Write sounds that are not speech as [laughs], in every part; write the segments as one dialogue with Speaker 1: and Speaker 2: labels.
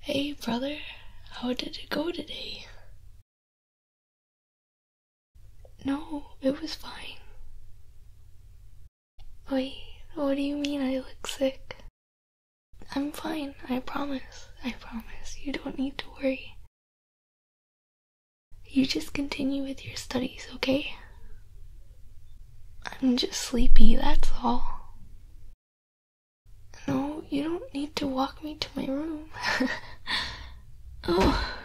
Speaker 1: Hey, brother, how did it go today? No, it was fine. Wait, what do you mean I look sick? I'm fine, I promise, I promise. You don't need to worry. You just continue with your studies, okay? I'm just sleepy, that's all. No, you don't need to walk me to my room. oh. [laughs]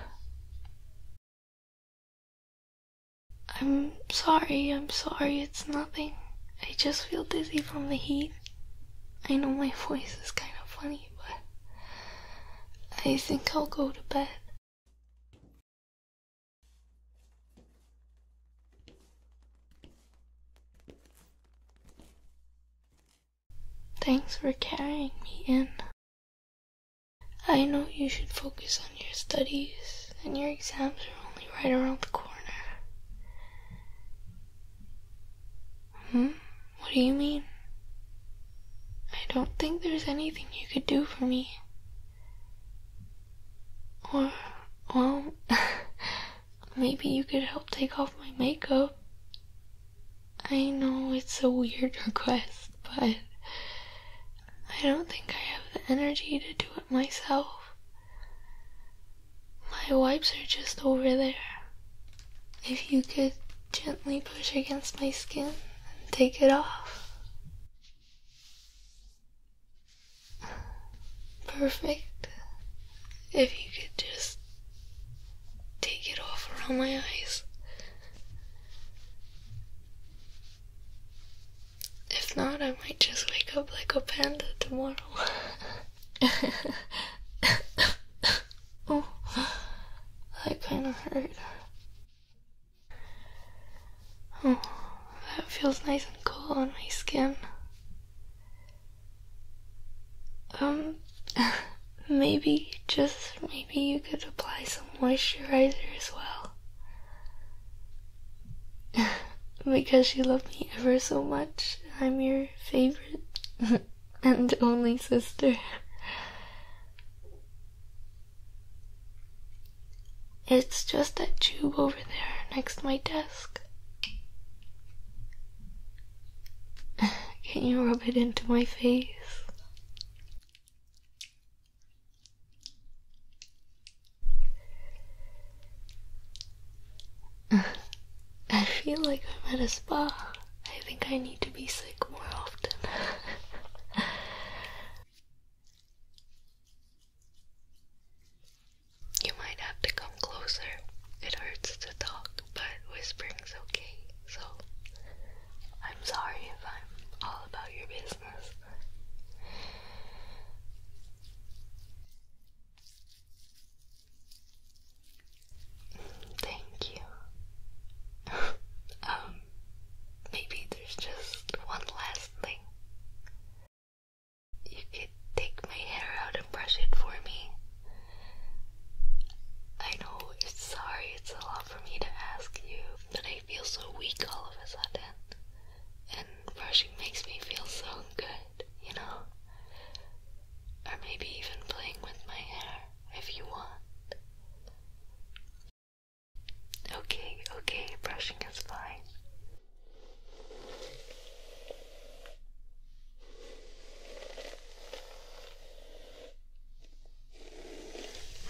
Speaker 1: I'm sorry, I'm sorry, it's nothing. I just feel dizzy from the heat. I know my voice is kind of funny, but I think I'll go to bed. Thanks for carrying me in. I know you should focus on your studies, and your exams are only right around the corner. Hmm? What do you mean? I don't think there's anything you could do for me. Or, well, [laughs] maybe you could help take off my makeup. I know it's a weird [laughs] request, but I don't think I have the energy to do it myself. My wipes are just over there. If you could gently push against my skin and take it off perfect if you could just take it off around my eyes. If not, I might just wake up like a panda tomorrow. [laughs] oh, that kind of hurt. Oh, that feels nice and cool on my skin. Um, [laughs] maybe, just maybe you could apply some moisturizer as well. [laughs] because you love me ever so much, I'm your favorite [laughs] and only sister. It's just that tube over there next to my desk. [laughs] Can you rub it into my face? [laughs] I feel like I'm at a spa. I think I need to be sick more often. [laughs] You might have to come closer. It hurts to talk, but whispering's okay. So, I'm sorry if I'm all about your business. Thank you. [laughs] um, maybe there's just one last rustling. You could take my hair out and brush it for me. I know it's sorry, it's a lot for me to ask you, but I feel so weak all of a sudden. And brushing makes me feel so good, you know? Or maybe even playing with my hair if you want. Okay, okay, brushing is fine.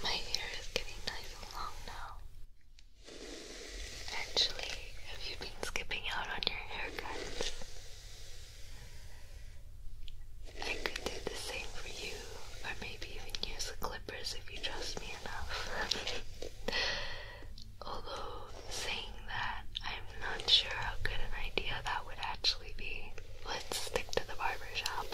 Speaker 1: My hair is getting nice and long now. Actually, have you been skipping out on your haircuts? I could do the same for you, or maybe even use the clippers if you trust me [laughs] Although, saying that, I'm not sure how good an idea that would actually be. Let's stick to the barber shop.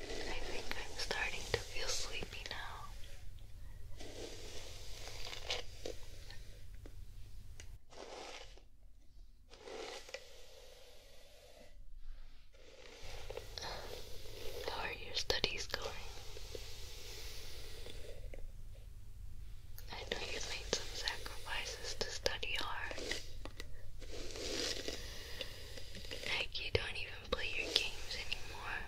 Speaker 1: I think I'm starting to feel sleepy now. How are your studies going? I know you made some sacrifices to study hard. Like you don't even play your games anymore.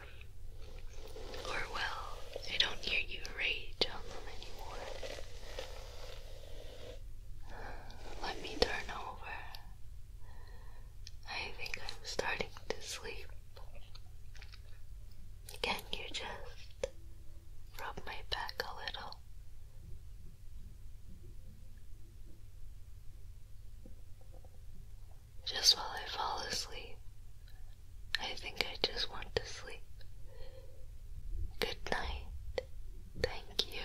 Speaker 1: Or well, I don't hear you rage on them anymore. Let me turn over. I think I'm starting to sleep. Can you just rub my back a little? Just while I fall asleep, I think I just want to sleep. Good night. Thank you.